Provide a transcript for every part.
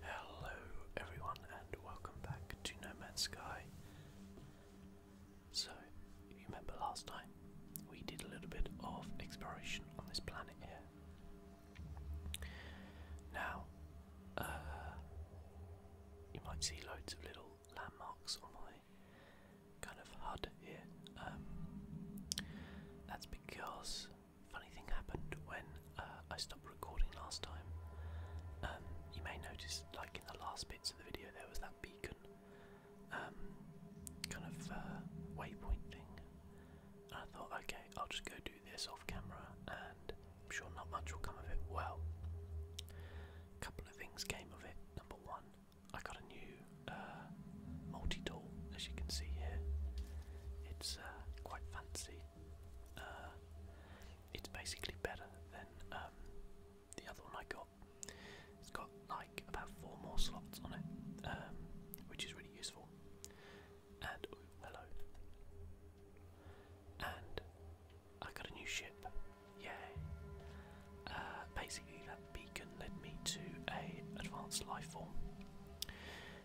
Hello everyone and welcome back to No Sky. So, you remember last time we did a little bit of exploration on this planet here. Now, uh, you might see loads of little landmarks on my kind of HUD here. Um, that's because funny thing happened when uh, I stopped recording last time. Um, you may notice, like in the last bits of the video, there was that beacon um, kind of uh, waypoint thing. I thought, okay, I'll just go do this off camera, and I'm sure not much will come of it. Well, a couple of things came of it. Number one, I got a new uh, multi tool, as you can see here. It's uh, quite fancy. Uh, it's basically better than um, the other one I got. It's got like about four more slots on it, um, which is really useful. And hello. And I got a new ship. Yay! Uh, basically, that beacon led me to a advanced life form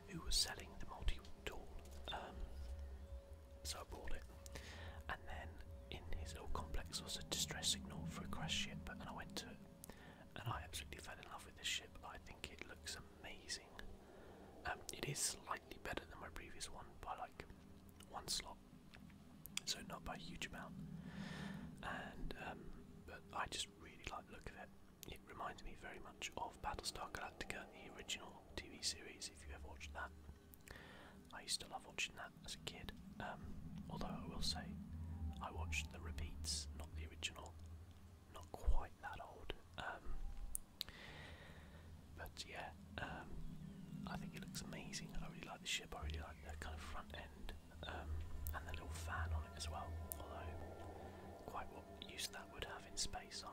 who was selling the multi tool. Um, so I bought it. And then in his little complex was a distress signal for a crash ship, and I went to it. And I absolutely fell in love with this ship. I think it looks amazing. Um, it is slightly better than my previous one by like one slot, so not by a huge amount. And um, but I just really like the look of it. It reminds me very much of Battlestar Galactica, the original TV series, if you have watched that. I used to love watching that as a kid, um, although I will say I watched the repeats, not the original. Not quite that old. Um, but yeah, um, I think it looks amazing. I really like the ship, I really like the kind of front end and the little fan on it as well. Although, quite what use that would have in space, i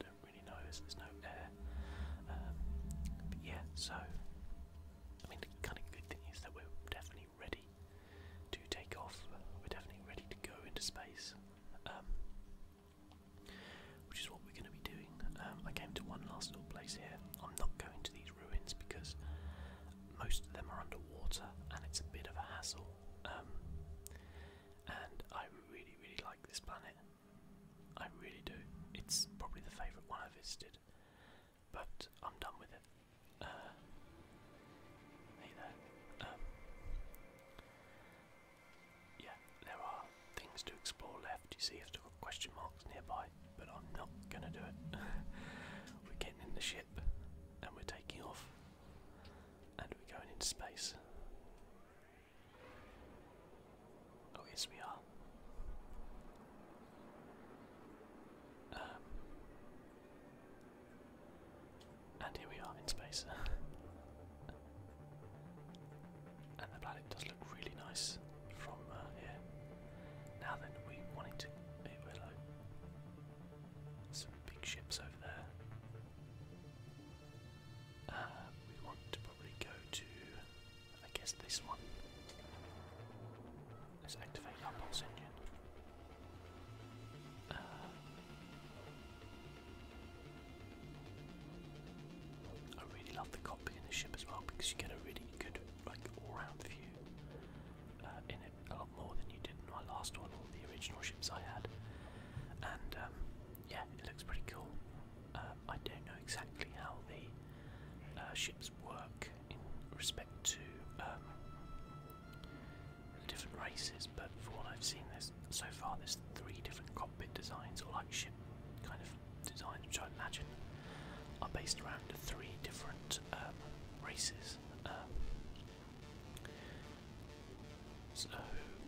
don't really know there's no air. Um, yeah, so I mean, the kind of good thing is that we're definitely ready to take off. We're definitely ready to go into space, um, which is what we're going to be doing. Um, I came to one last little place here. I'm not going to these ruins because most of them are underwater, and it's a bit of a hassle and I really, really like this planet. I really do. It's probably the favourite one I visited, but I'm done with it. Uh, hey there. Um, yeah, there are things to explore left. You see, I've got question marks nearby, but I'm not gonna do it. we're getting in the ship and we're taking off. And we're going into space. Oh, yes, we are. Um, and here we are in space. and the planet does look really nice from uh, here. Now then, we wanted to. Hey, Willow. Some big ships over there. Um, we want to probably go to, I guess, this one. Let's activate our pulse uh, I really love the cockpit in the ship as well because you get a really good, like, all-round view uh, in it a lot more than you did in my last one or the original ships I had, and um, yeah, it looks pretty cool. Uh, I don't know exactly how the uh, ships work in respect to um, different races, but for what I've seen so far, there's three different cockpit designs, or like ship kind of designs, which I imagine are based around three different um, races. Um, so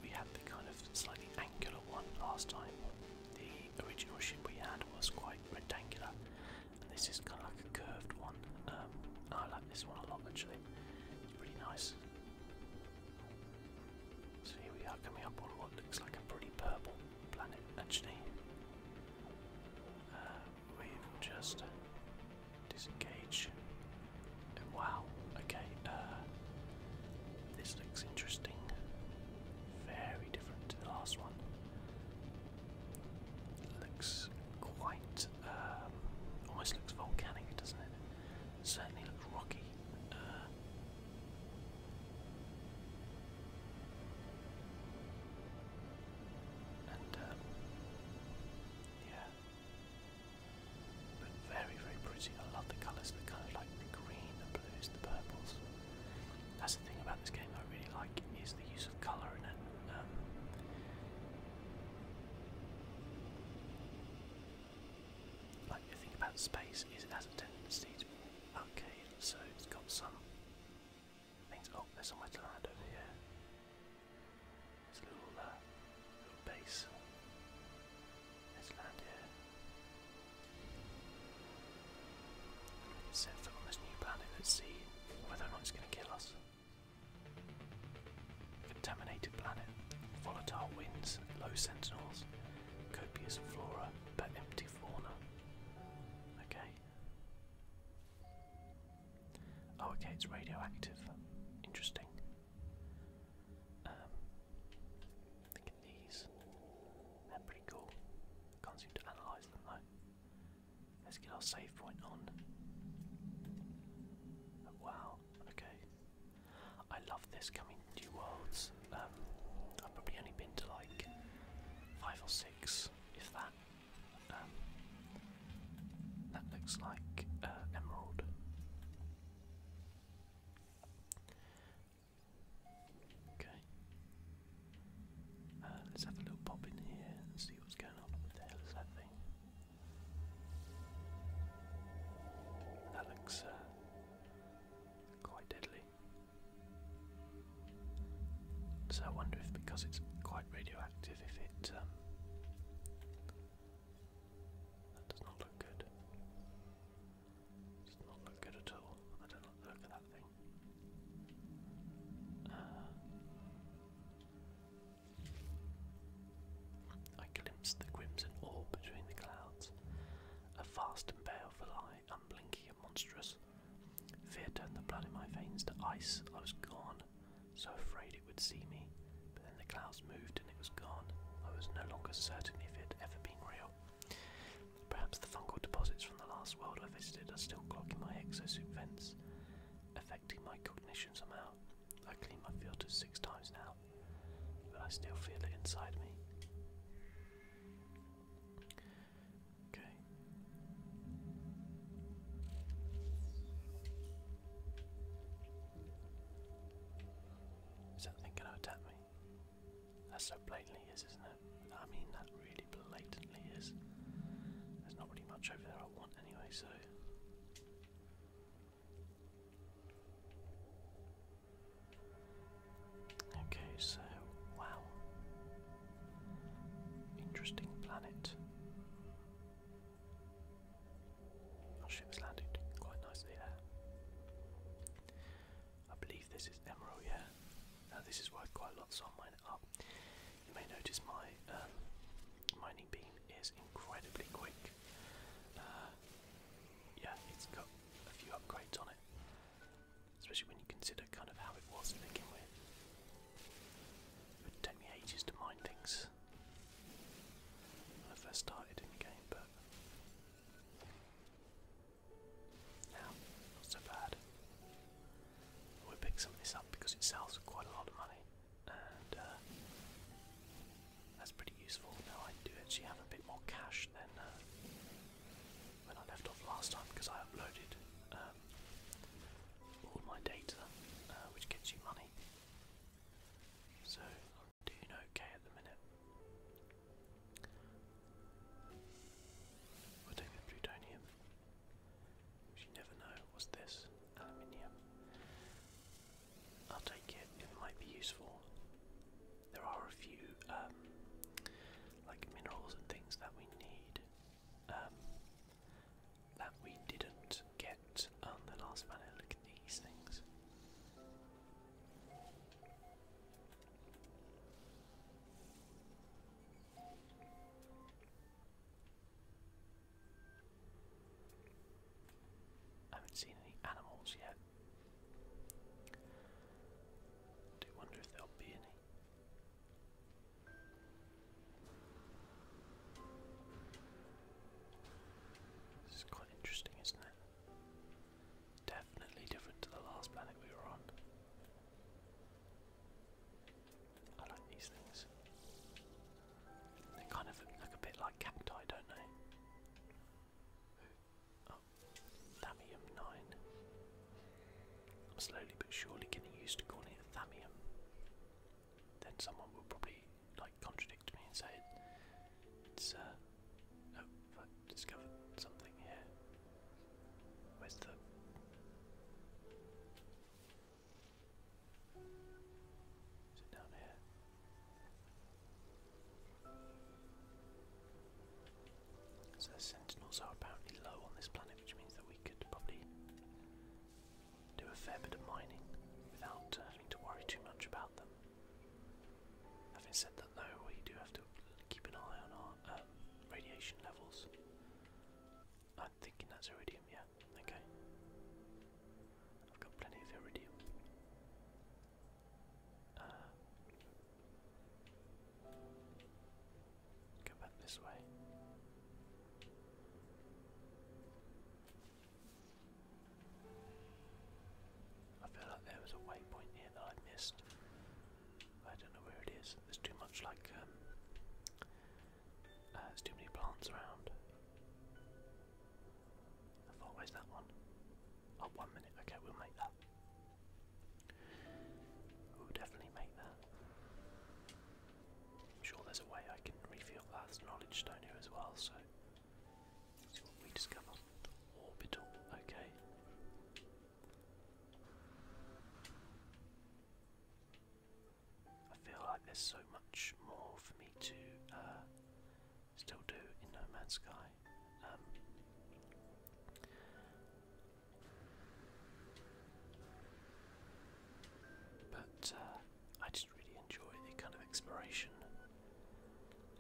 we had the kind of slightly angular one last time. The original ship we had was quite rectangular, and this is kind of like a curved one. Um, I like this one a lot actually, it's pretty nice. So here we are coming up on what looks like a pretty purple planet actually. Uh, we've just disengaged Wow, okay, uh, this looks interesting. Very different to the last one. looks quite, um, almost looks volcanic, doesn't it? certainly looks rocky. Uh, and, uh, yeah, but very, very pretty. I love the colours, the kind of like the green, the blues, the purples. That's the thing about this game I really like is the use of colour in it. Um, like the thing about space is it has a tendency to okay, so it's got some things oh, there's somewhere to land over here. It's a little, uh, little base. Let's land here. set foot on this new planet. Let's see whether or not it's going to kill us. Contaminated planet, volatile winds, low sentinels, copious flora but empty fauna. Okay. Oh, okay, it's radioactive. Interesting. Um, look these. are pretty cool. Can't seem to analyse them though. Let's get our save point on. Oh, wow, okay. I love this coming to worlds. Um, I've probably only been to like five or six, if that. Um, that looks like uh, emerald. Okay. Uh, let's have a little pop in here and see what's going on. What that thing? That looks uh, quite deadly. So I wonder if because it's quite radioactive, if it um, that does not look good. Does not look good at all. I don't look at that thing. Uh, I glimpsed the crimson orb between the clouds. A vast and baleful eye, unblinking and monstrous. Fear turned the blood in my veins to ice. I was gone, so afraid would see me, but then the clouds moved and it was gone. I was no longer certain if it had ever been real. Perhaps the fungal deposits from the last world I visited are still clogging my exosuit vents, affecting my cognition somehow. I clean my filters six times now, but I still feel it inside me. Okay. Is that going to attack me? That so blatantly is, isn't it? I mean, that really blatantly is. There's not really much over there I want anyway, so. Okay, so, wow. Interesting planet. Our ship's landed quite nicely there. I believe this is Emerald, yeah. Now this is worth quite a lot, so I'll mine it up. You may notice my um, mining beam is incredibly quick. Uh, yeah, it's got a few upgrades on it, especially when you consider kind of how it was to begin with. It would take me ages to mine things was when I first started in the game, but now not so bad. we pick some of this up because it sells for quite a lot of money, and uh, that's pretty useful. Now I do actually have a bit more cash than uh, when I left off last time because I uploaded um, all my data, uh, which gets you money. So I'm doing okay at the minute. We'll plutonium. You never know. What's this? Aluminium. I'll take it. It might be useful. There are a few um, like minerals and things that we need um, that we didn't get the last planet. Look at these things. I haven't seen any animals yet. Do wonder if there'll be any. This is quite interesting, isn't it? Definitely different to the last planet we were on. I like these things. They kind of look a bit like cacti, don't they? Oh, thamium 9. am slowly but surely getting used to calling it Thamium. Then someone will probably like contradict me and say it's uh oh i discovered something here. Where's the Is it down here? So sentinels are apparently low on this planet, which means that we could probably do a fair bit of mining without uh, having to worry too much about them. Having said that, though, we do have to keep an eye on our um, radiation levels. I'm thinking that's iridium, yeah, okay. I've got plenty of iridium. Uh, back this way. I feel like there was a waypoint here that I missed. I don't know where it is. There's too much like um, uh, there's too many plants around. How far away's that one? Oh one minute, okay, we'll make that. We'll definitely make that. I'm sure there's a way I can refill that knowledge stone here as well, so we discover. Orbital, okay. I feel like there's so much more for me to uh, still do in No Man's Sky. Um, but uh, I just really enjoy the kind of exploration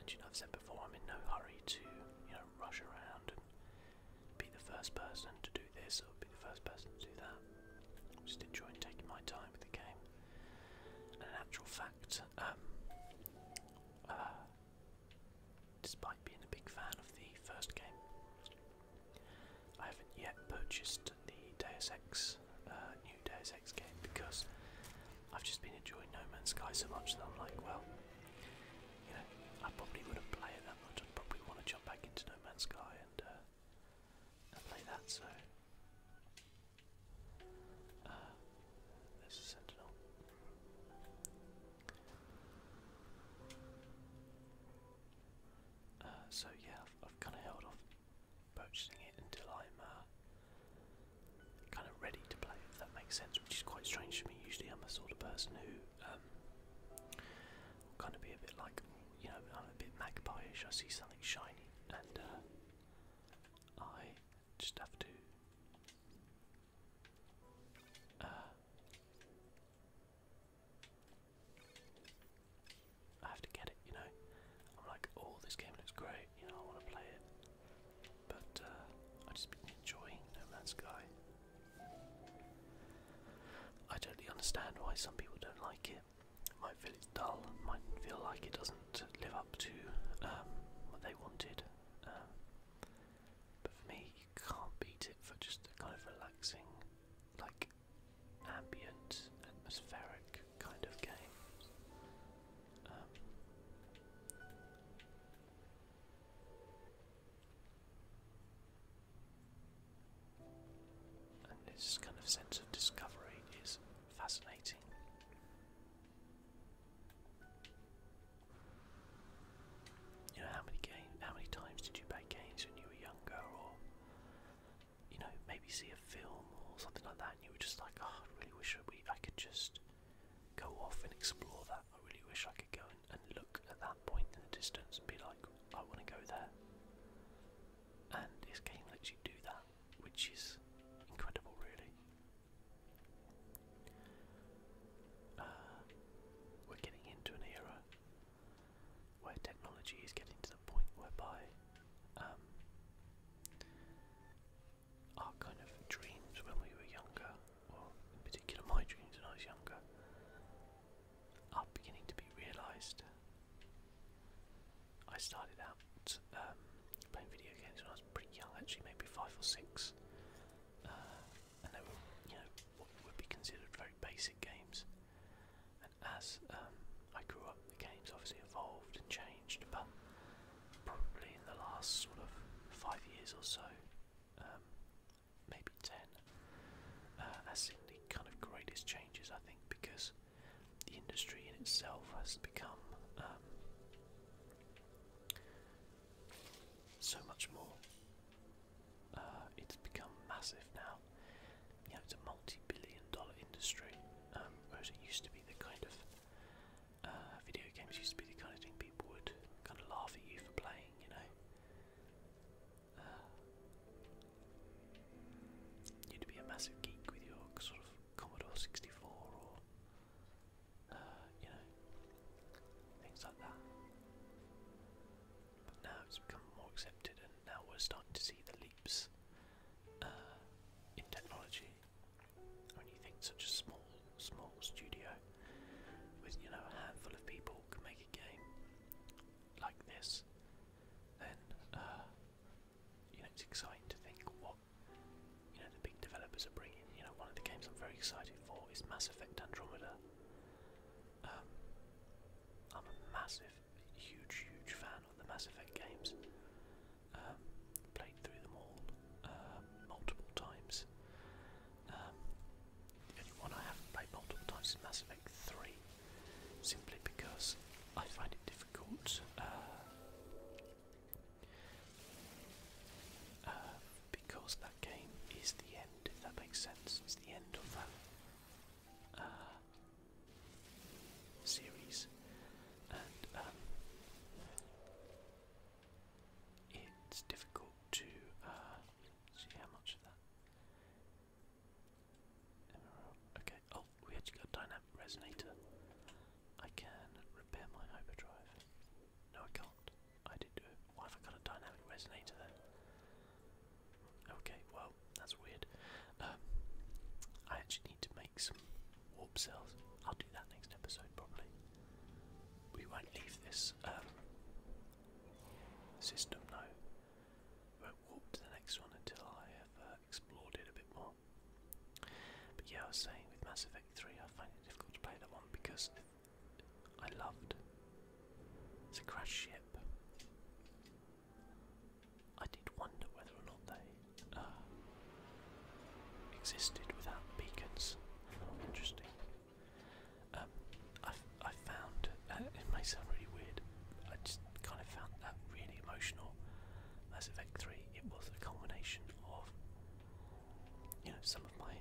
and you know, I've said before, I'm in no hurry to, you know, rush around and be the first person to do this or be the first person to do that. just enjoying taking my time with the game. And an actual fact, um, uh, despite being a big fan of the first game, I haven't yet purchased the Deus Ex, uh, new Deus game because I've just been enjoying No Man's Sky so much that I'm like, well, you know, I probably wouldn't play it that much. I'd probably want to jump back into No Man's Sky and, uh, and play that. So uh, there's a uh, so yeah, I've, I've kind of held off purchasing it until I'm uh, kind of ready to play, if that makes sense, which is quite strange to me. Usually, I'm a sort of person who um, kind of be a bit like, you know, I'm a bit magpie-ish. I see something shiny, and uh, I just have to. Uh, I have to get it, you know. I'm like, oh, this game looks great, you know, I want to play it. But uh, I just been No Man's Sky. I totally understand why some people don't like it. Might feel it's dull. Might feel like it doesn't live up to um, what they wanted. Um, but for me, you can't beat it for just a kind of relaxing, like ambient, atmospheric kind of game. Um, and this kind of sense of discovery is fascinating. You know, how many game, how many times did you play games when you were younger, or you know, maybe see a film or something like that, and you were just like, "Oh, really wish we I could just go off and explore that. I really wish I could go and, look at that point in the distance and be like, I want to go there. And this game lets you do that, which is incredible, really. Uh, we're getting into an era where technology is getting to the point whereby um, our kind of dreams when we were younger, or in particular my dreams when I was younger, are beginning to be realised. I started out um, playing video games when I was pretty young, actually, maybe five or six, uh, and they were, you know, would be considered very basic games. And as um, I grew up, the games obviously evolved and changed, but probably in the last sort of five years or so, um, maybe ten, uh, has seen the kind of greatest changes, I think, because the industry in itself has become um, so much more. Uh, it's become massive now. You know, it's a multi-billion dollar industry, um, whereas it used to be the kind of uh, video games used to be the kind of thing people would kind of laugh at you for playing, you know. Uh, you'd be a massive geek with your sort of Commodore 64 or, uh, you know, things like that. But now it's become more accepted, and now we're starting to see the leaps uh, in technology when you think such a small, small studio with you know a handful of people can make a game like this, then uh, you know it's exciting to think what you know the big developers are bringing. You know, one of the games I'm very excited for is Mass Effect Andromeda. Um, I'm a massive, huge, huge fan of the Mass Effect games. Um, played through them all uh, multiple times. Um, the only one I haven't played multiple times is Mass Effect 3, simply because I find it difficult. Uh, uh, because that game is the end, if that makes sense. It's the end of that series. Um, it's difficult to uh, see how much of that. Okay. Oh, we actually got a dynamic resonator. I can repair my hyperdrive. No, I can't. I did do it. Why have I got a dynamic resonator then? Okay, well, that's weird. Um, I actually need to make some warp cells. I'll do that next episode probably. We won't leave this um, system, no. won't warp to the next one until I have uh, explored it a bit more. But yeah, I was saying with Mass Effect 3, I find it difficult to play that one because I loved it's a crash ship. I did wonder whether or not they uh, existed without beacons. interesting. Um, I I found uh, it may sound really weird. I just kind of found that really emotional. Mass Effect Three. It was a combination of you know some of my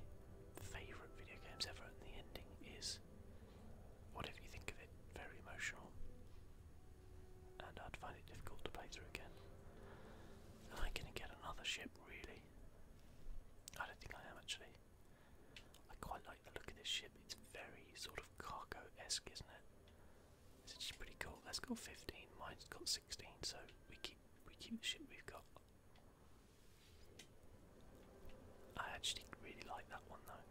favourite video games ever, and the ending is whatever you think of it, very emotional. And I'd find it difficult to play through again. Am I gonna get another ship? really. I don't think I am actually. I quite like the look of this ship. It's very sort of cargo-esque, isn't it? It's just pretty cool. That's got 15. Mine's got 16. So we keep we keep the ship we've got. I actually really like that one though.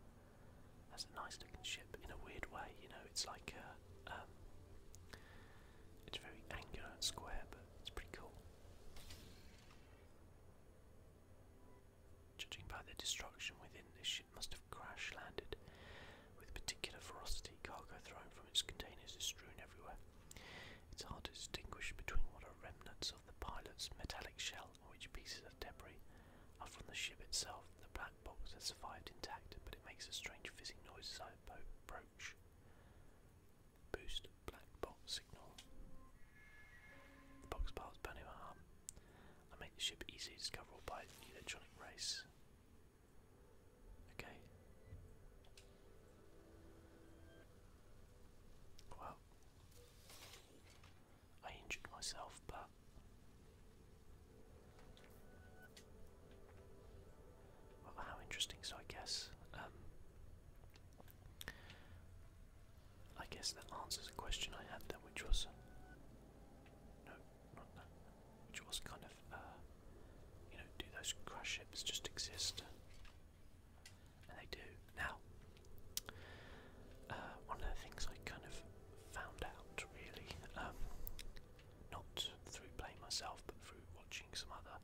That's a nice looking ship in a weird way. You know, it's like a um, it's very angular and square, but it's pretty cool. Judging by the destruction within, this ship must have crash landed with particular ferocity. Cargo thrown from its containers is strewn everywhere. It's hard to distinguish between what are remnants of the pilot's metallic shell and which pieces of debris are from the ship itself. The black box has survived intact, but it makes a strange fizzing noise as I approach. Boost black bot signal. The box piles burn him harm. I make the ship easy to discover by electronic race. Okay. Well, I injured myself, but how interesting. So I guess, um, I guess that answers a question I had then, which was, no, not that, which was kind of, uh, you know, do those crash ships just exist? And they do. Now, uh, one of the things I kind of found out really um, not through playing myself, but through watching some other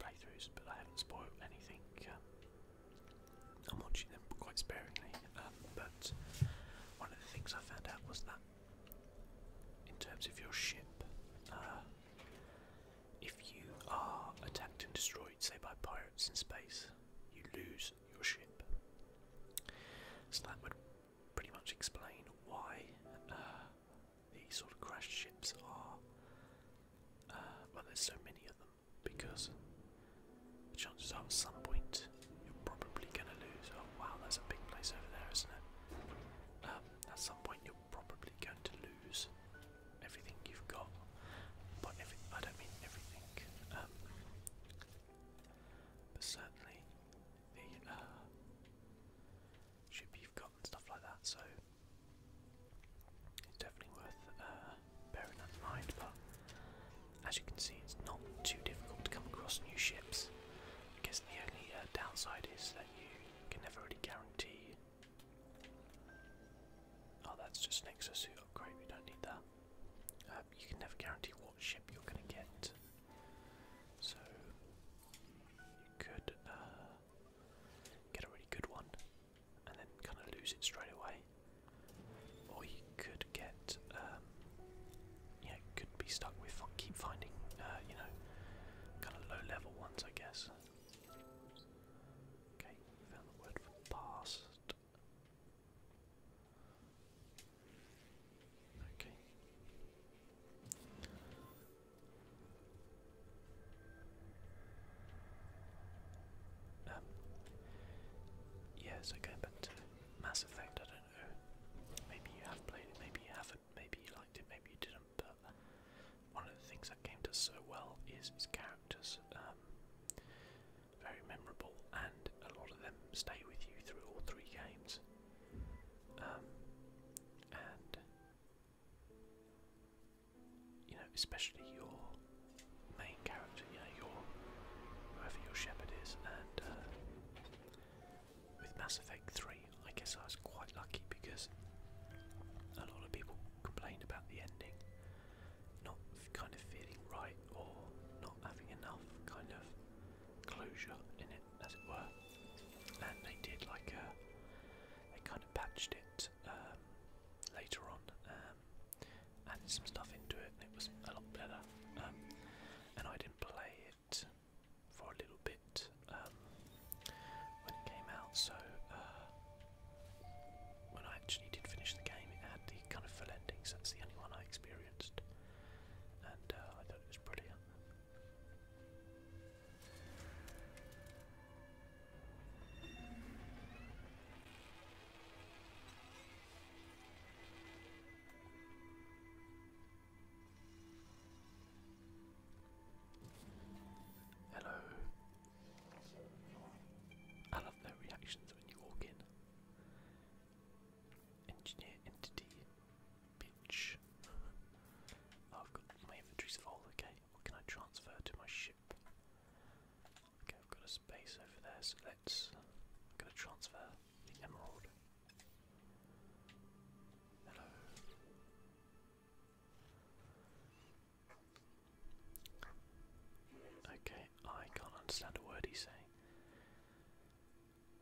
playthroughs. But I haven't spoiled anything. Um, I'm watching them quite sparingly. Um, but one of the things I found out was that, in terms of your ship, uh, if you are attacked and destroyed, say by pirates in space, you lose your ship. So that would pretty much explain why uh, these sort of crashed ships are. Uh, well, there's so many of them because the chances are at some point you're probably going to lose. Oh wow, there's a big place over there, isn't it? Um, at some point you're probably going to lose everything you've got. But every, I don't mean everything. Um, but certainly the uh, ship you've got stuff like that, so it's definitely worth uh, bearing that in mind. But as you can see, it's not too difficult to come across new ships. I guess the only uh, downside is that you can never really guarantee. Oh, that's just an exosuit upgrade, we don't need that. Um, you can never guarantee what ship you're going to get. So, you could uh, get a really good one and then kind of lose it straight away. Or you could get, um, yeah, could be stuck with keep finding, uh, you know, kind of low level ones, I guess. Okay, found the word for past. Okay. Um, yeah, so Mass Effect, I don't know. Maybe you have played it, maybe you haven't, maybe you liked it, maybe you didn't, but one of the things that game does so well is its characters. Um, very memorable, and a lot of them stay with you through all three games. Um, you know, especially your main character, you know, your whoever your shepherd is, and uh, with Mass Effect 3, I guess I was quite lucky because a lot of people complained about the ending not kind of feeling right or not having enough kind of closure in it, as it were. And they did like a uh, they kind of patched it um, later on, um, added some stuff into it, and it was a lot better. Um, and I didn't play it for a little bit um, when it came out, so uh, when I actually did finish the game, it had the kind of full endings. That's the only one I experienced, and uh, I thought it was brilliant. Hello. I love their reactions when you walk in. Engineer entity bitch. oh god, my inventory's full, okay. What can I transfer to my ship? Okay, I've got a space over there, so let's... I'm gonna transfer the emerald. Hello. Okay, I can't understand a word he's saying.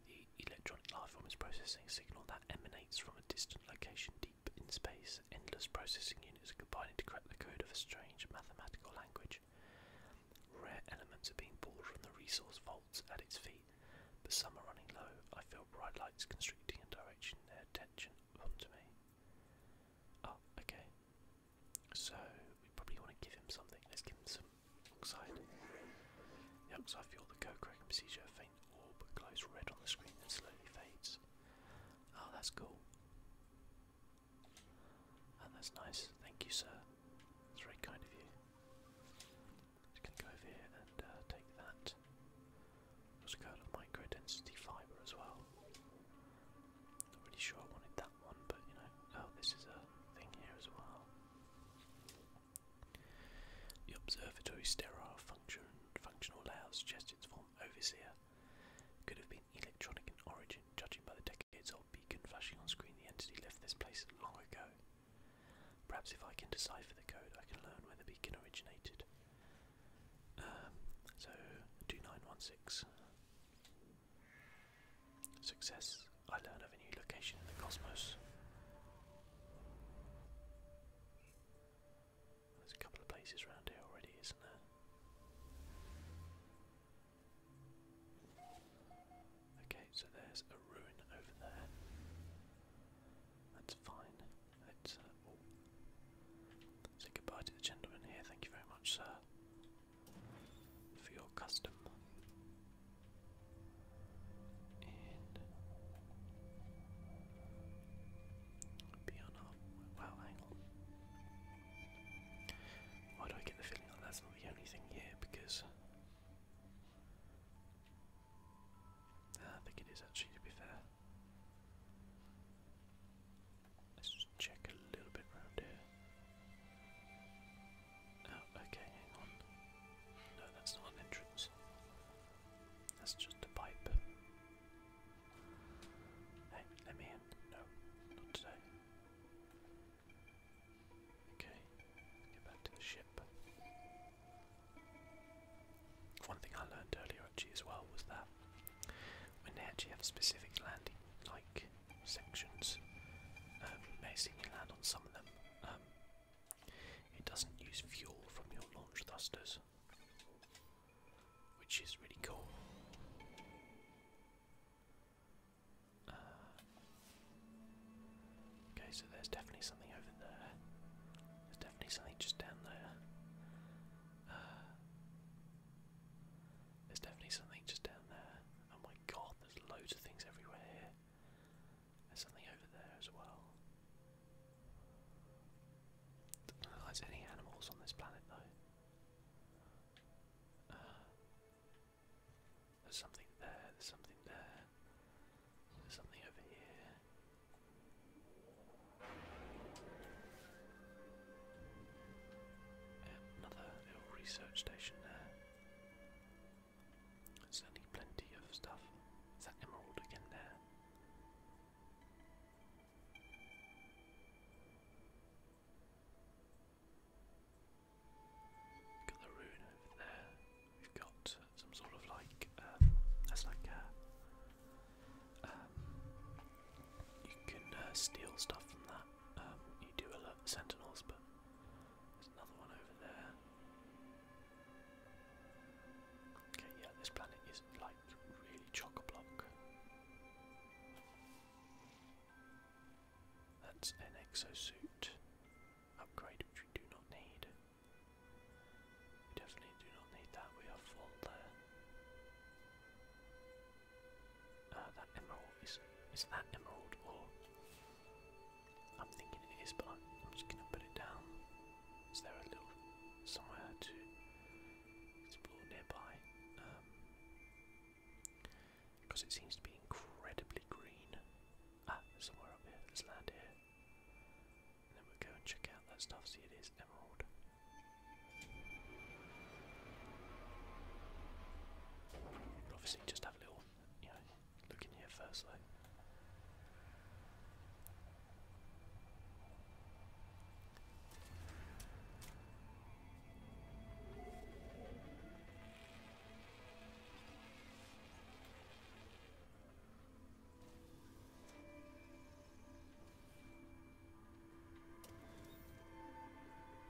The electronic life is processing a signal that emanates from a distant location, in space, endless processing units are combining to crack the code of a strange mathematical language. Rare elements are being pulled from the resource vaults at its feet, but some are running low. I feel bright lights constricting and directing their attention onto me. Oh, okay. So, we probably want to give him something. Let's give him some oxide. The oxide fuel, the co-cracking procedure, faint orb glows red on the screen and slowly fades. Oh, that's cool. And oh, that's nice. Thank you, sir. That's very kind of you. Just gonna go over here and uh, take that. Also got a micro density fiber as well. Not really sure I wanted that one, but you know. Oh, this is a thing here as well. The observatory sterile function functional layout suggests its form overseer could have been electronic in origin, judging by the decades-old beacon flashing on screen. The entity left this place long ago. Perhaps if I can decipher the code, I can learn where the beacon originated. Um, so two nine one six. Success. I learn of a new location in the cosmos. There's a couple of places around here already, isn't there? Okay, so there's a ruin over there. That's fine. let uh, oh. goodbye to the gentleman here. Thank you very much, sir, for your custom be on Why do I get the feeling that that's not the only thing here? Because uh, I think it is actually to be fair. Let's just check a little bit around here. Oh, okay, hang on. No, that's not an entrance. That's just a pipe. Hey, let me in. No, not today. Okay, get back to the ship. One thing I learned earlier actually as well was that when they actually have specific landing like sections, um, basically you land on some of them, um, it doesn't use fuel from your launch thrusters which is really cool. Uh, okay, so there's definitely something over there. There's definitely something just down there. Uh, there's definitely something just down there. Oh my god, there's loads of things everywhere There's something over there as well. Doesn't look like there's any animals on this planet though. Uh, there's something there, there's something there. There's something over here. And um, another little research station there. Certainly plenty of stuff. Is that emerald again there? Got the rune over there. We've got some sort of like um, that's like uh, um, you can uh, steal stuff from that. Um, you do alert the sentinels, but there's another one over there. Okay, yeah, this planet is like really chock block. That's an exosuit upgrade which we do not need. We definitely do not need that, we are full there. Uh, that emerald is is that emerald or I'm thinking it is but I'm just gonna put it down. Is there a little somewhere to explore nearby? because um, it seems to be incredibly green. Ah, somewhere up here. Let's land here. then we go and check out that stuff. See, it is emerald. Obviously, just have a little, you know, look in here first, though.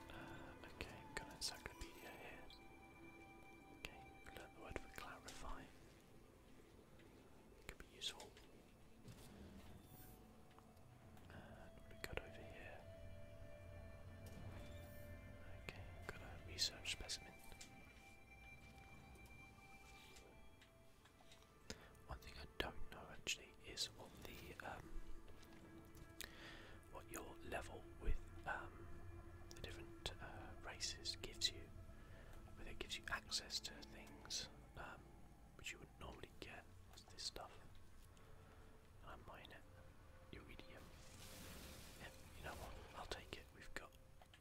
Uh, okay, got an encyclopedia here. Okay, learn the word for clarify. Could be useful. And we got over here. Okay, got a research specimen. One thing I don't know actually is what the um, what your level with um, the different uh, races gives you. Whether it gives you access to things um, which you would normally get this stuff. I mine it. Iridium. you know what? I'll take it. We've got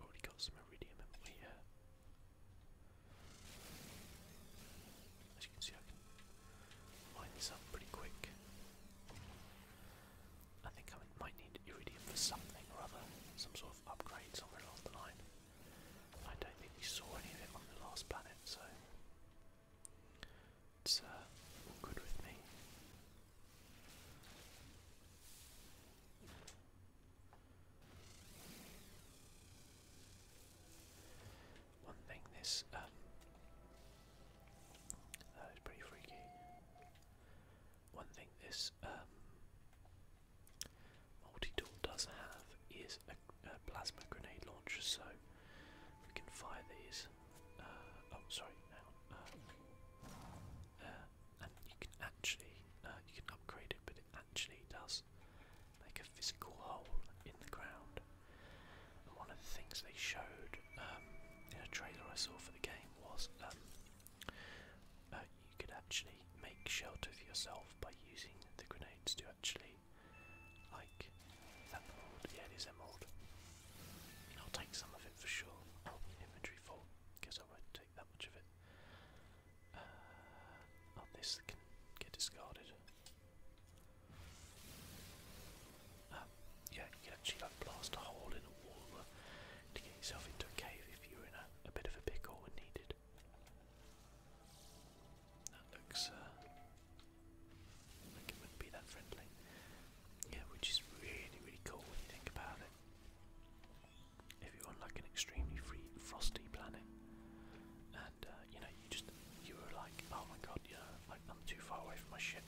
already got some iridium in we as you can see I can mine this up pretty quick. I think I might need iridium for something or other, some sort of upgrade somewhere along the line. I don't think we saw any of it on the last planet, so it's uh, all good with me. One thing this um, that is pretty freaky. One thing this um, Multi-tool does have is a, a plasma grenade launcher, so we can fire these. Uh, oh, sorry, now. Uh, uh, and you can actually uh, you can upgrade it, but it actually does make a physical hole in the ground. And one of the things they showed um, in a trailer I saw for the game was um, uh, you could actually make shelter for yourself by using the grenades to actually, like, emerald. Yeah, it is emerald. I'll take some of it for sure. Oh, inventory full. Guess I won't take that much of it. Uh, oh, this can get discarded. Um, yeah, you can actually like blast a hole in a wall to get yourself into a cave if you were in a, a bit of a pickle and needed that looks uh, like it wouldn't be that friendly. Yeah, which is really, really cool when you think about it. If you're on like an extremely frosty planet, and uh, you know, you just you were like, oh my god, you like I'm too far away from my ship.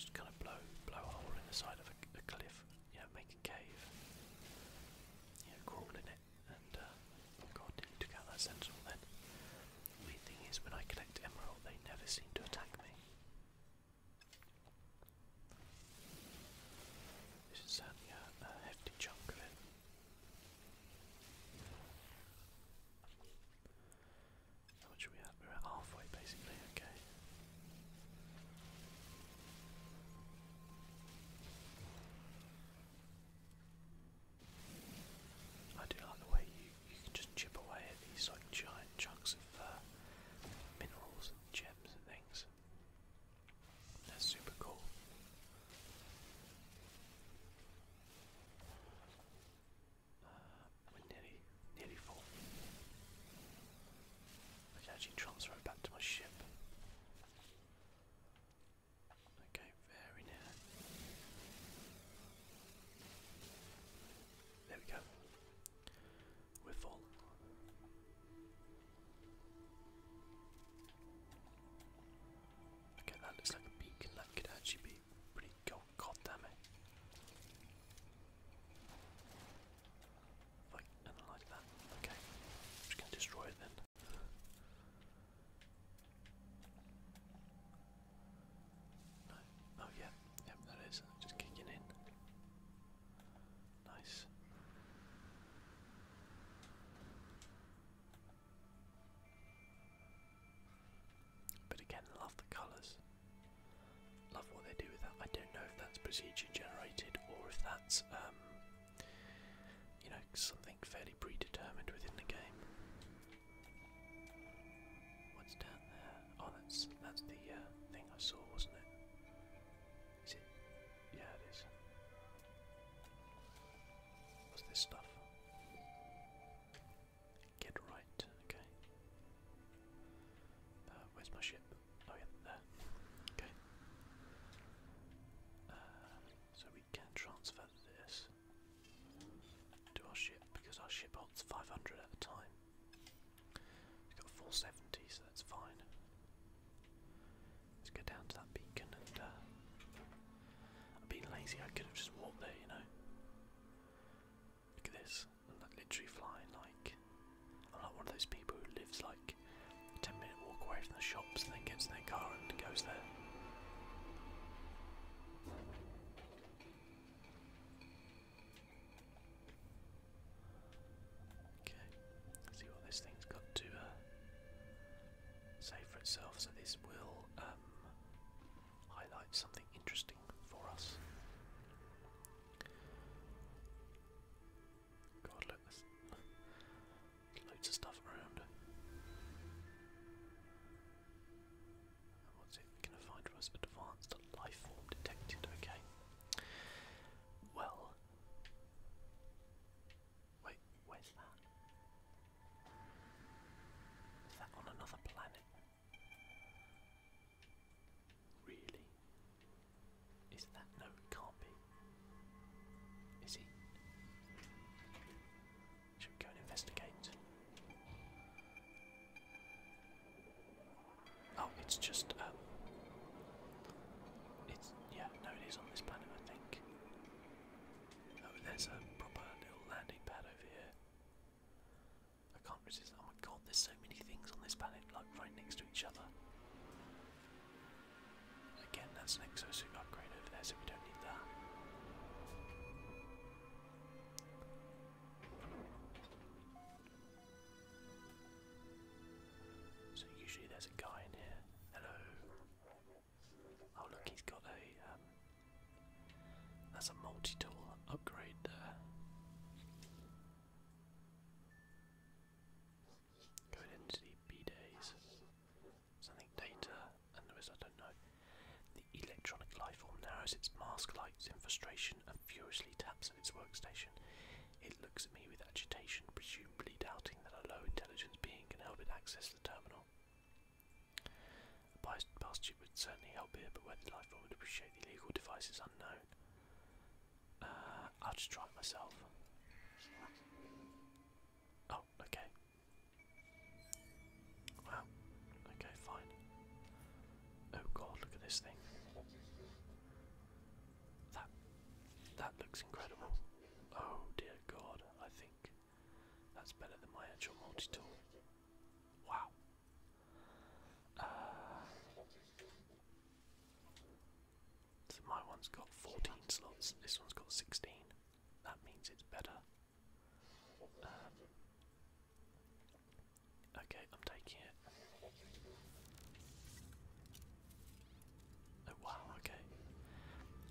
Just kind of blow, blow a hole in the side of a, cliff. You make cave. You it. And uh, God, you took out that sentinel then. weird thing is, when I collect emerald, they never seem to attack me. This is certainly a, hefty chunk of it. How much we at? We're at halfway basically, okay. I do like the way you, you can just chip away at these like giant chunks of uh, minerals and gems and things. That's super cool. Uh, we're nearly, nearly full. I can transfer it back to my ship. Okay, very near. There we go. We're falling. Okay, that looks like a beacon. That could actually be pretty cool. it and I like that. Okay, just going to destroy it then. Oh yeah, yep, that is. Just kicking in. Nice. But again, love the colours. Love what they do with that. I don't know if that's procedure generated or if that's um, you know, something fairly predetermined within the game. What's down there? Oh, that's that's the uh, thing I saw, wasn't it? Is it? Yeah, it is. What's this stuff? Get right. Okay. Uh, where's my ship? Oh yeah, there. Okay. Uh, so we can transfer this to our ship because our ship holds 500 at a time. We've got 470, so that's fine. Let's go down to that beacon and. Uh, I've been lazy, I could have just walked there, you know. Look at this. I'm like literally flying like. I'm like one of those people who lives like 10 minute walk away from the shops then gets in their car and goes there. Okay, see what this thing's got to uh, say for itself. So, this will um, highlight something interesting for us. God, look, there's loads of stuff around. what's it going to find for us? Advanced life detected, okay. Well. Wait, where's that? Is that on another planet? Really? Is that? No, it can't be. Is he? Should we go and investigate? Oh, it's just um it's yeah, no it is on this planet I think. Oh there's a proper little landing pad over here. I can't resist oh my god, there's so many things on this planet like right next to each other. Again, that's an exosuit upgrade over there, so we don't need that. So usually there's a guy in here. Hello. Oh look, he's got a. Um, that's a multi-tool upgrade there. Going into the B days something data, and there is, I don't know. The electronic life form narrows its mask lights in frustration and furiously taps at its workstation. It looks at me with agitation, presumably doubting that a low intelligence being can help it access the terminal. A past chip would certainly help here, but whether the life form would appreciate the illegal device is unknown. Uh, I'll just try it myself. Oh, Oh, okay. Wow. Okay, fine. Oh god, look at this thing. That that looks incredible. Oh dear god, I think that's better than my actual multi-tool. Wow. Uh, so my one's got 14 slots, this one's got 16. That means it's better. Um, okay, I'm taking it. Oh wow, okay.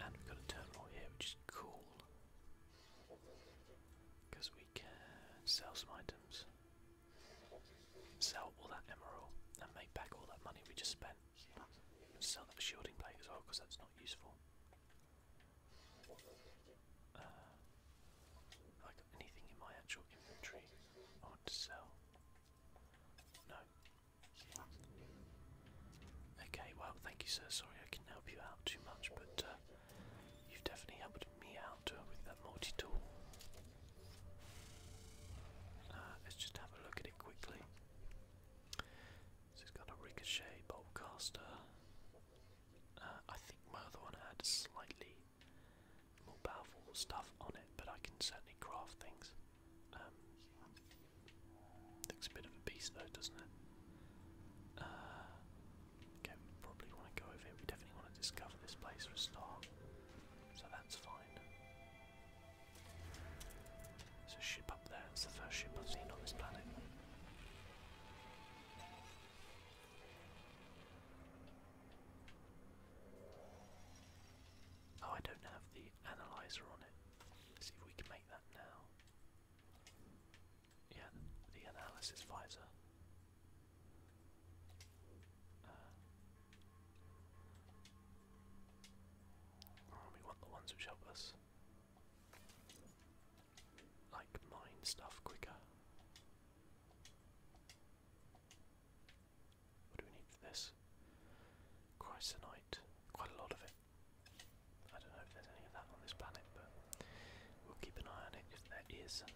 And we've got a terminal here, which is cool. Because we can sell some items. Sell all that emerald and make back all that money we just spent. Sell the shielding plate as well because that's not useful. Uh, I got anything in my actual inventory I want to sell? No. Okay, well, thank you, sir. Sorry I can help you out too much, but uh, you've definitely helped me out uh, with that multi tool. let's just have a look at it quickly. So has got a Ricochet, Boltcaster. Uh, I think my other one had slightly more powerful stuff on it, but I can certainly craft things. Um, looks a bit of a beast though, doesn't it? Uh, we probably want to go over here. We definitely want to discover this place for a start, so that's fine. It's a ship up there, it's the first ship I've seen on this planet. Oh, I don't have the analyzer on it. see if we can make that now. Yeah, the analysis visor. Uh, Oh, we want the ones which help us. Like mine stuff quicker. What do we need for this? Chrysonite. Quite a lot of it. I don't know if there's any of that on this planet, but we'll keep an eye on it. If there is, then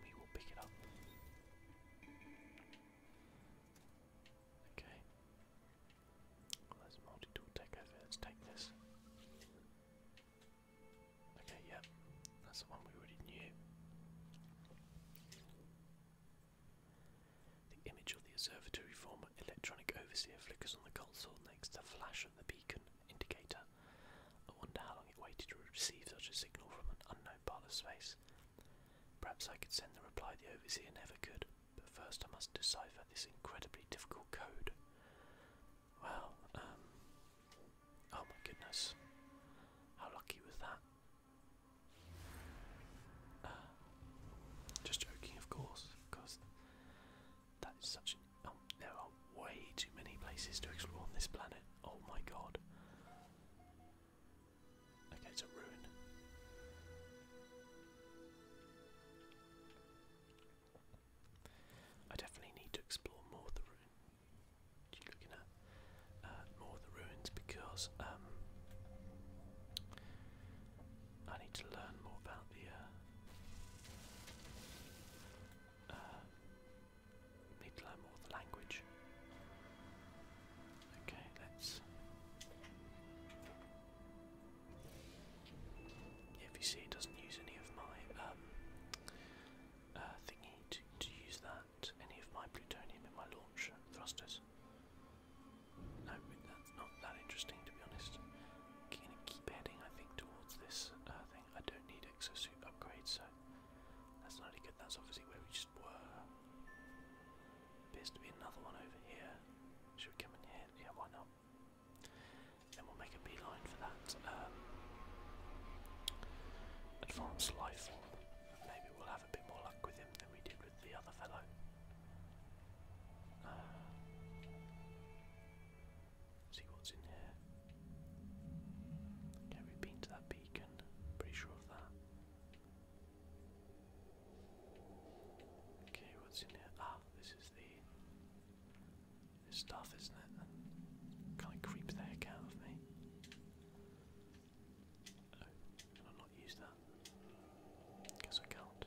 we will pick it up. Okay. Well, there's multi-tool tech over. Let's take this. Okay, yep. That's the one we already knew. The image of the observatory former electronic overseer flickers on the console next to the flash of the beacon indicator. I wonder how long it waited to receive such a signal from an unknown part of space. Perhaps I could send the reply the overseer never could, but first I must decipher this incredibly difficult code. Well, um, Oh my goodness. How lucky was that? Uh, just joking, of course, because that is such um, there are way too many places to explore on this planet. Oh my god. Okay, it's a ruin. I definitely need to explore more of the ruin. What you looking at? Uh, more of the ruins because um, I need to learn more about the. Uh, uh, need to learn more of the language. Okay, let's. If you see, it doesn't use any of my um, uh, thingy to, use that, any of my plutonium in my launch thrusters. No, that's not that interesting to be honest. i keep heading, I think, towards this uh, thing. I don't need exosuit upgrades, so that's not really good. That's obviously where we just were. Appears to be another one over here. Should we come in here? Yeah, why not? Then we'll make a beeline for that. Um, advanced life Maybe we'll have a bit more luck with him than we did with the other fellow. Uh, see what's in here. Okay, we been to that beacon. Pretty sure of that. Okay, what's in here? Ah, this is the stuff, isn't it? Kind of creeps the heck out of me. Oh, can I not use that? Guess I can't.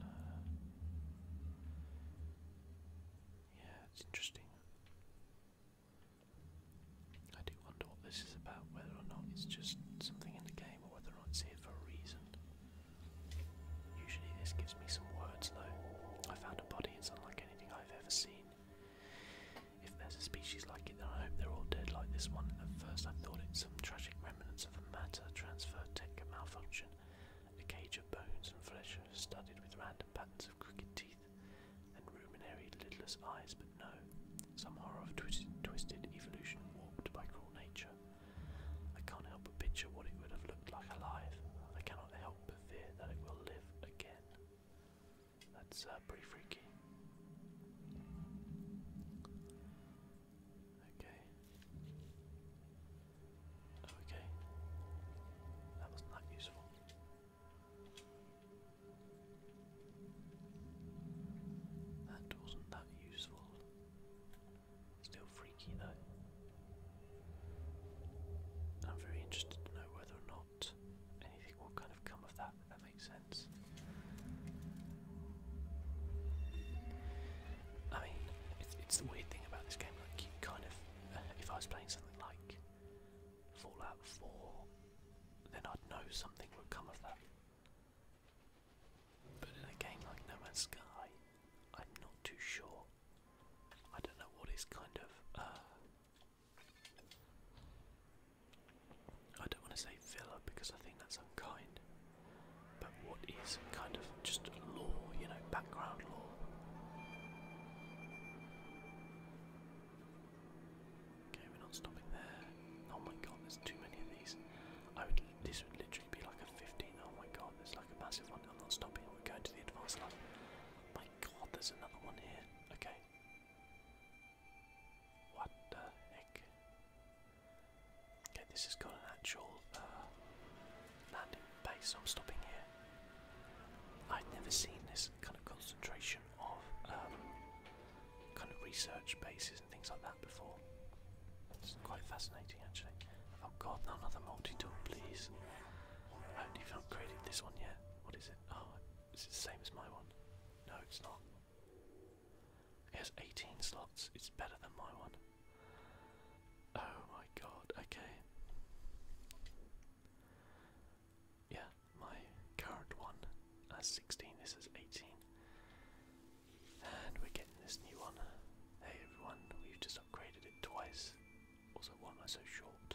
Uh, yeah, it's interesting. I do wonder what this is about, whether or not it's just something in the game or whether or not it's here for a reason. Usually this gives me some words though. I found a body, it's unlike anything I've ever seen. If there's a species like it, then I hope they're all dead like this one. At first I thought it some tragic remnants of a matter transfer tech malfunction. A cage of bones and flesh studded with random patterns of crooked teeth teeth, and ruminary lidless eyes, but no, some horror of twi twisted evolution warped by cruel nature. I can't help but picture what it would have looked like alive. I cannot help but fear that it will live again. That's uh, pretty freaky. Okay. Okay. That wasn't useful. That wasn't that useful. Still freaky though. I'm very interested to know whether or not anything will kind of come of that, that makes sense. I mean, it's, the weird thing about this game, like you kind of, if I was playing something like Fallout 4, then I'd know something would come of that. But in a game like No Man's Sky, I'm not too sure. I don't know what is kind of. Uh, I don't want to say filler because I think that's unkind. But what is kind of just law, you know, background law? Okay, we're not stopping there. Oh my god, there's too many of these. this would literally be like a 15. Oh my god, there's like a massive one. I'm not stopping. We're going to the advanced level. My god, there's another one here. Okay. What the heck? Okay, this has got an actual uh, landing base. I'm stopping here. I'd never seen this kind of concentration of um, kind of research bases and things like that before. It's quite fascinating, actually. Oh God, no, another multi-tool, please. I haven't even created this one yet. What is it? Oh, is it the same as my one? No, it's not. It has 18 slots. It's better than my one. Oh my God. Okay. Yeah, my current one has 16, this is 18. And we're getting this new one. Hey everyone, we've just upgraded it twice. Also, why am I so short?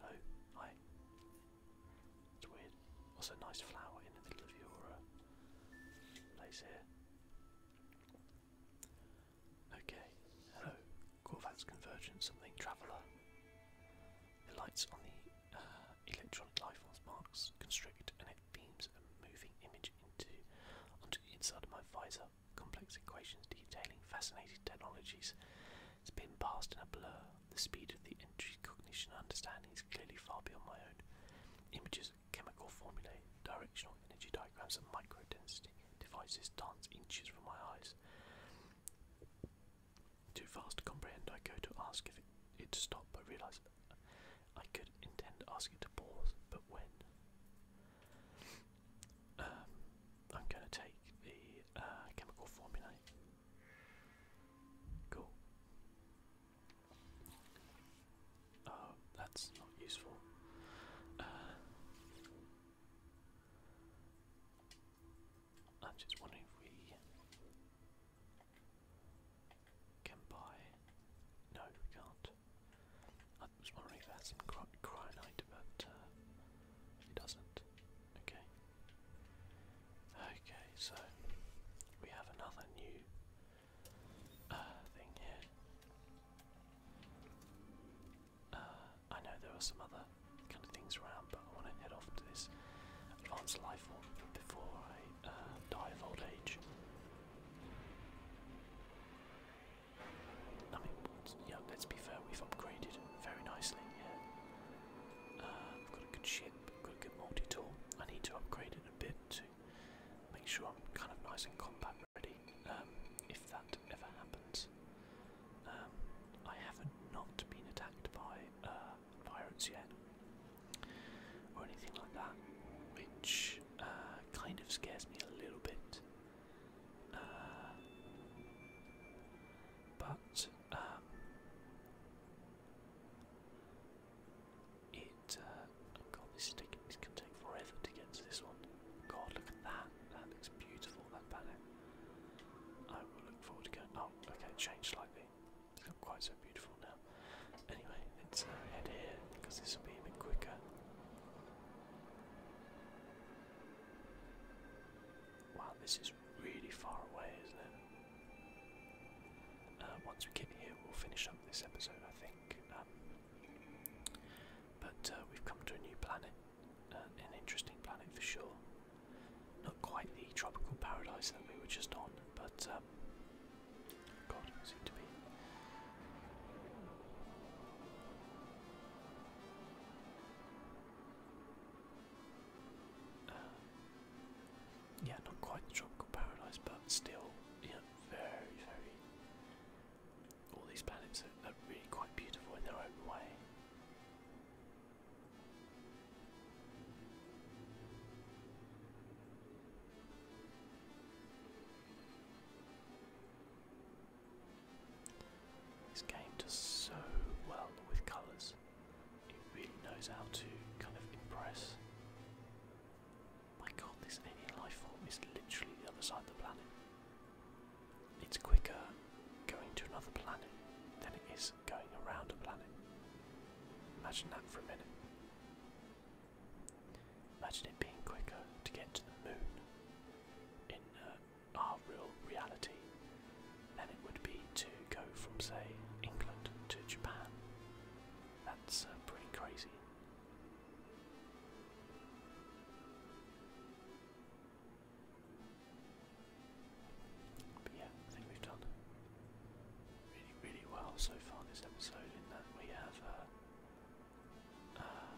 Hello, hi. It's weird. Also, nice flower in the middle of your uh, place here. Okay, hello. Corvat's Convergence, something Traveller. The lights on the uh, electronic lifeforms marks constrict and it beams a moving image into onto the inside of my visor. Complex equations detailing fascinating technologies. It's been passed in a blur. The speed of the entry cognition understanding is clearly far beyond my own. Images, chemical formulae, directional energy diagrams, and micro-density devices dance inches from my eyes. Too fast to comprehend, I go to ask if it, it I realize I could intend asking to pause, but when? Um, I'm going to take the uh, chemical formula. Cool. Oh, that's not useful. Uh, I'm just wondering if we can buy. No, we can't. I was wondering if it had some cryonite, but uh, doesn't. Okay. Okay, so we have another new uh, thing here. Uh, I know there are some other kind of things around, but I want to head off to this advanced life form before I uh, die of old age. I mean, yeah, let's be fair, we've upgraded very nicely, yeah. I've uh, got a good ship, got a good multi-tool. I need to upgrade it a bit to make sure I'm kind of nice and combat ready, um, if that ever happens. Um, I haven't not been attacked by uh, pirates yet, or anything like that, which uh, kind of scares me a little bit. Uh, but um, it. Uh, oh God, this is taking. This take forever to get to this one. God, look at that! That looks beautiful. That banner. I will look forward to going. Oh, okay, it changed slightly. It's not quite so beautiful now. Anyway, let's uh, head here because this will be a bit quicker. Wow, this is really far away, isn't it? Uh, once we get here, we'll finish up this episode, I think. Um, but uh, we've come to a new planet an, interesting planet for sure. Not quite the tropical paradise that we were just on, but um, God, it seemed to be. Uh, yeah, not quite the tropical paradise, but still, you very, very. All these planets are really quite beautiful in their own way. This game does so well with colours. It really knows how to kind of impress. My god, this alien life form is literally the other side of the planet. It's quicker going to another planet than it is going around a planet. Imagine that for a minute. Imagine it being quicker to get to the moon in uh, our real reality than it would be to go from, say, England to Japan. That's uh, pretty crazy. But yeah, I think we've done really, really well so far this episode in that we have uh, uh,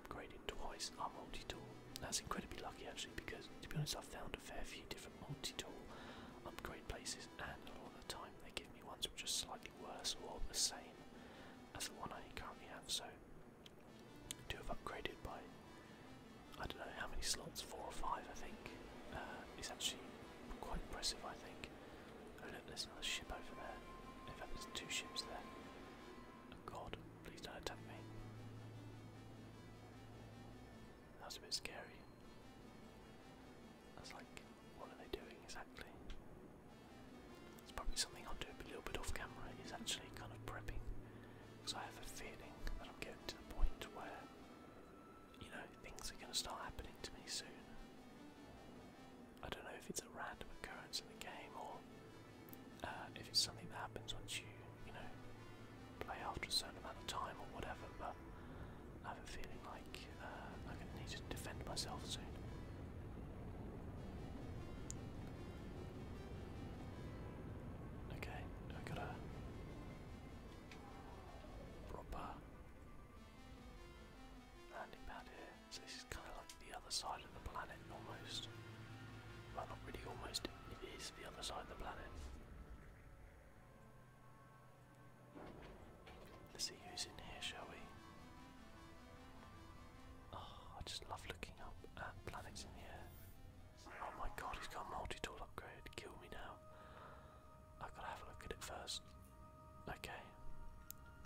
upgraded twice our multi-tool. That's incredibly lucky actually because to be honest I've found a fair few different multi-tool upgrade places and a lot of the time they give me ones which are slightly worse or the same as the one I currently have so to have upgraded by I don't know how many slots, four or five I think. Uh, it's actually quite impressive I think. Oh look, there's another ship over there. there's two ships there. Oh god, please don't attack me. That's a bit scary. That's like, what are they doing exactly? It's probably something I'll do a little bit off camera, is actually kind of prepping. Because I have a feeling that I'm getting to the point where, you know, things are going to start happening to me soon. I don't know if it's a random occurrence in the game or uh, if it's something that happens once you, you know, play after a certain amount of time or whatever, but I have a feeling like uh, I'm going to need to defend myself soon. Okay, I got a proper landing pad here. So this is kind of like the other side of the planet almost. Well, not really almost, it is the other side of the planet. Let's see who's in here, shall we? Oh, I just love looking up at planets in the air. Oh my god, he's got multi-tool upgrade. Kill me now. I've got to have a look at it first. Okay.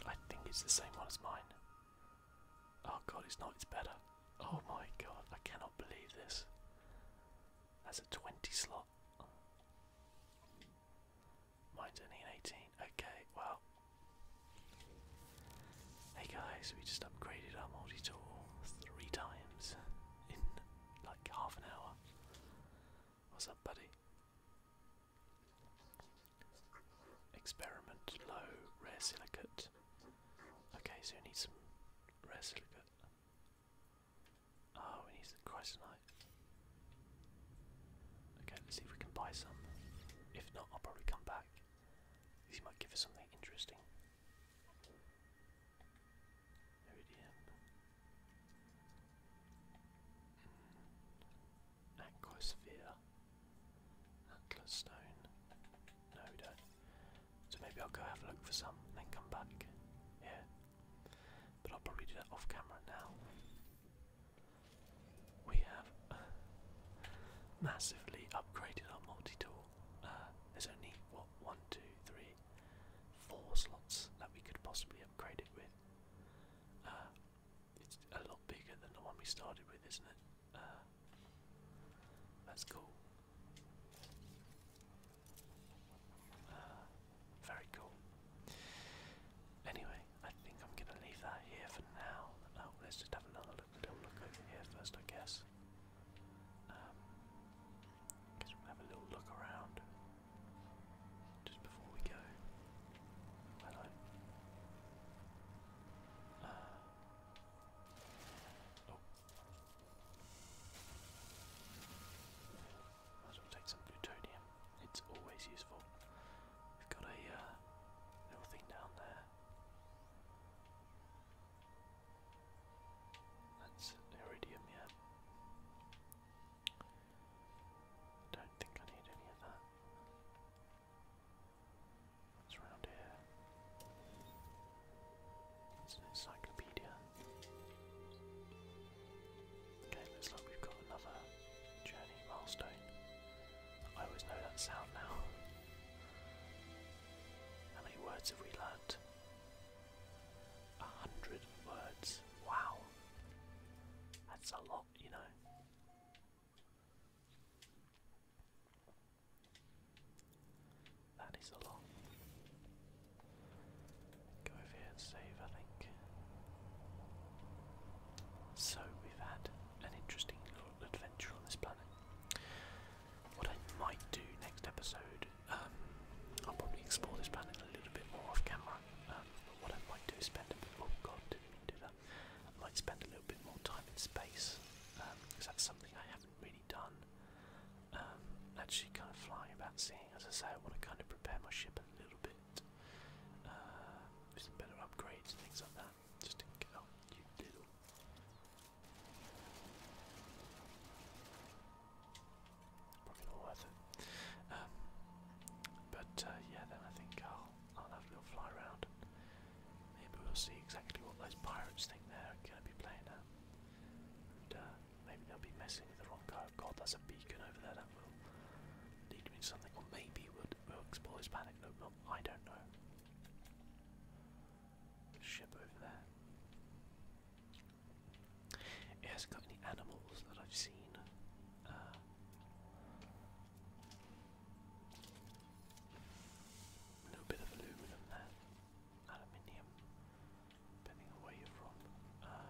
I think it's the same one as mine. Oh god, it's not. It's better. Oh my god, I cannot believe this. That's a 20 slot. Mine's only an 18. Okay, well. Hey guys, we just upgraded our multi tool three times in like half an hour. What's up, buddy? Experiment low rare silicate. Okay, so we need some rare silicate. Oh, we need the chrysonite. Okay, let's see if we can buy some. If not, I'll probably come back. These might give us something interesting. Iridium. Mm. Aquasphere. Atlas stone. No, don't. So maybe I'll go have a look for some and then come back. Yeah. But I'll probably do that off camera now we have uh, massively upgraded our multi-tool. Uh, there's only what one, two, three, four slots that we could possibly upgrade it with. Uh, it's a lot bigger than the one we started with, isn't it? that's cool. very cool. Anyway, I think I'm going to leave that here for now. Oh, let's just have another look we look over here first, I guess. Um, guess we'll have a little look around just before we go. Hello. Uh, oh. Might as well take some plutonium. It's always useful. We've got a uh, little thing down there. That's iridium, yeah. don't think I need any of that. What's around here? It's an encyclopedia. Okay, looks like we've got another journey milestone. I always know that sound now. How many words have we learnt? A hundred words. Wow. That's a lot, you know. That is a lot. Go over here and save, I think. So, we've had an interesting adventure on this planet. What I might do next episode, um, I'll probably explore this planet a little bit more off camera. Um, what I might do spend a bit. Oh God, didn't mean to do that. I might spend a little bit more time in space because um, that's something I haven't really done. actually, kind of flying about, seeing. As I say, I want to kind of prepare my ship a little bit with uh, some better upgrades and things like that. Just didn't get out, you diddle. Probably not worth it. Um, but uh, yeah, then I think I'll, I'll have a little fly around. maybe we'll see exactly what those pirates think they're going to be playing at. Uh, maybe they'll be messing with the wrong guy. God, that's a beacon over there. That will lead me to something. Or maybe we'll, explore this panic. No, I don't know. Ship over there. It hasn't got any animals that I've seen. Uh, a little bit of aluminum there, aluminium, depending on where you're from. Uh,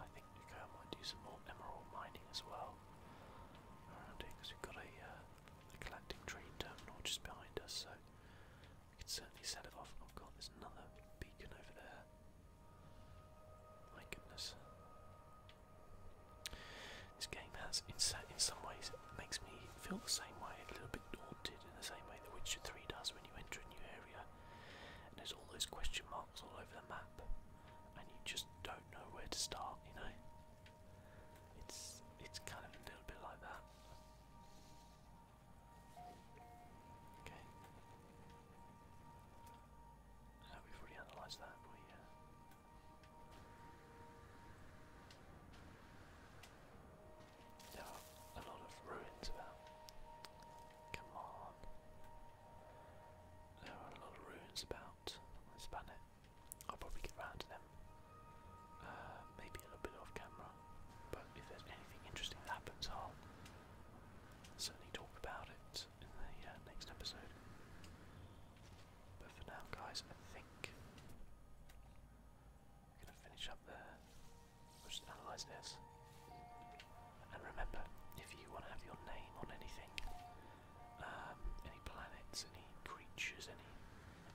I think we might do some more emerald mining as well around here because we've got a, uh, collecting a trade terminal just behind us, so we could certainly set it off. Oh god, there's another beacon over there. My goodness. This game has, in, some ways, makes me feel the same way, a little bit daunted in the same way that Witcher 3 does when you enter a new area. And there's all those question marks all over map and you just don't know where to start, you know? It's it's kind of a little bit like that. Okay. Uh, we already analysed that, we? There are a lot of ruins Come on. There are a lot of ruins about on this planet. I'll probably get round to them. Uh, maybe a little bit off camera, but if there's anything interesting happens, I'll certainly talk about it in the uh, next episode. But for now, guys, I think I'm gonna finish up there. We'll just analyze this. And remember, if you want to have your name on anything, um, any planets, any creatures, any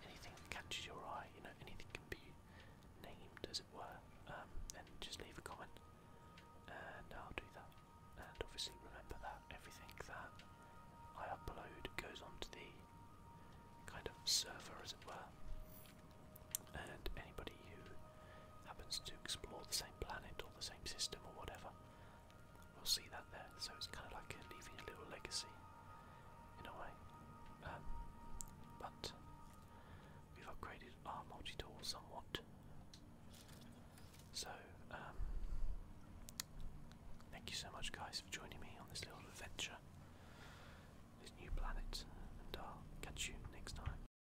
anything that catches your eye, you know, anything can be named, as it were, um, then just leave a comment, and I'll do that. And obviously, remember that everything that I upload goes onto the kind of server, as it were. And anybody who happens to explore the same planet or the same system or whatever. We'll see that there. So it's kind of like leaving a little legacy in a way. Um, but we've upgraded our multi tool somewhat. So, um, thank you so much, guys, for joining me on this little adventure, this new planet, and I'll catch you next time.